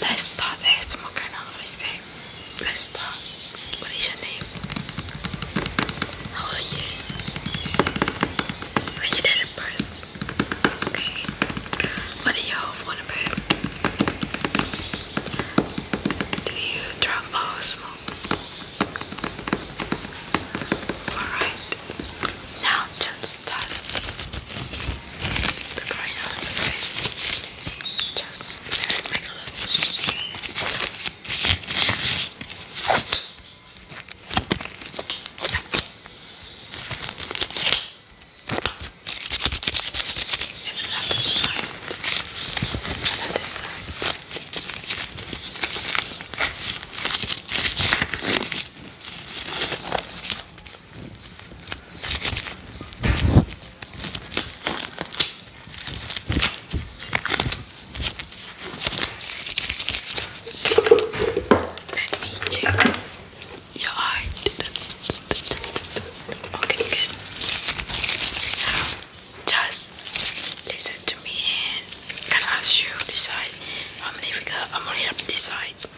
let's start the ASMR kind of I Let's start. What is your name? How are you? When you did first. Okay. What do y'all want to be? Do you drug or smoke? Alright. Now start the crayon just very big and another side another side me check your eye. Okay, good. just listen to me and can ask you decide how many fingers I'm gonna have to decide.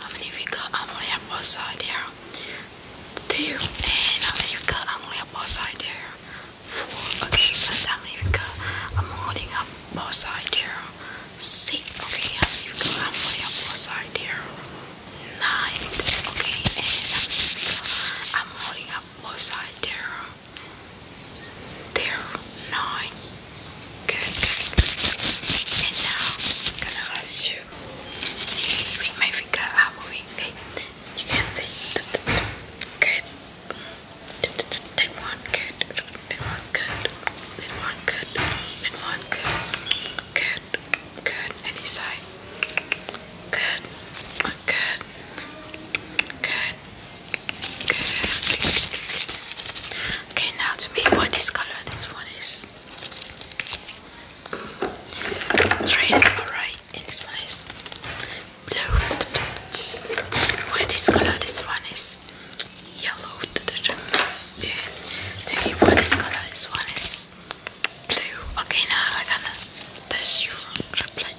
Amerika Amelia was there. Two and America Amelia was there. Four okay, and America I'm holding up both sides there. Six okay, America Amelia was there. Nine okay, and America I'm holding up both sides there. There nine. Good. And now I'm gonna let you Bring my finger up, okay? You can see. Good. good. good. good. good. Good. Good. Good. Good. Good. Good. Okay, now to make one color. This one is Red, alright, and this one is blue. What is color? This one is yellow. Then the what is color? This one is blue. Okay, now I'm gonna test your reply.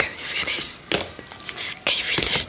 Can you feel this? Can you feel this?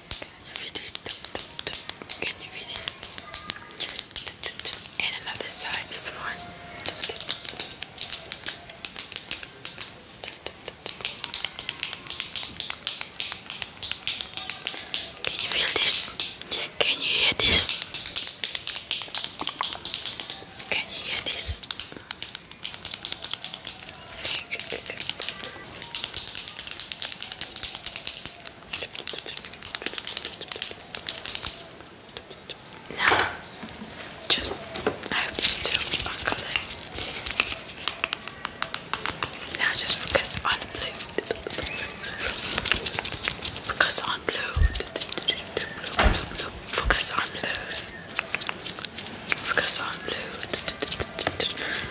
you feel it? Can you feel it? And another side, this one. Can you feel this? Can you hear this? Can you hear this? Now, just I have these two on color. Now, just focus on blue. Focus on blue. Focus on blues. Focus on blue.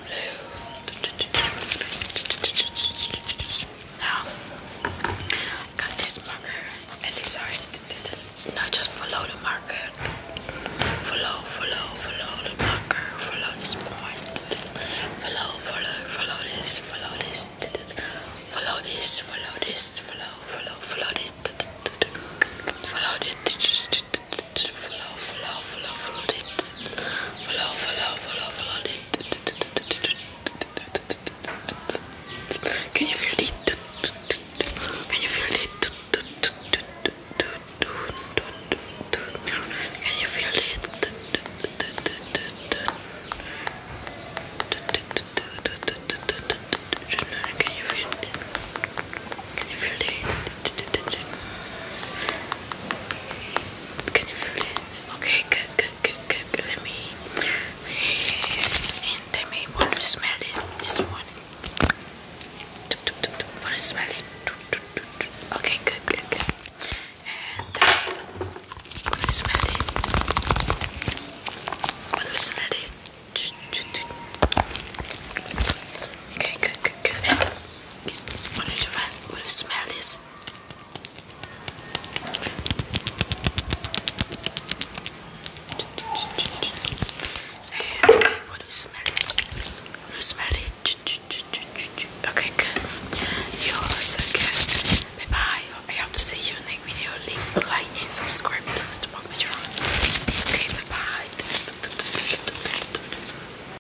now, got this marker, and it's already not just follow the marker, follow, follow, follow the marker, follow this point, follow, follow, follow this, follow this, follow this, follow this, follow, follow, follow this, follow this. Can you feel it? Can you feel it? Can you feel it? Can you feel it? Can you feel it? Okay, good, good, good, good. Let me and they may want to smell this this one. Want to smell it? Okay, good, good, good. And want to smell it? Want to smell it? Okay, good, good, good. And Will you try? Will you smell this? And will you smell it? Will you smell it? Okay, good. You good. Bye bye. I hope to see you in the next video. Leave a like and subscribe to the channel. Okay, bye bye.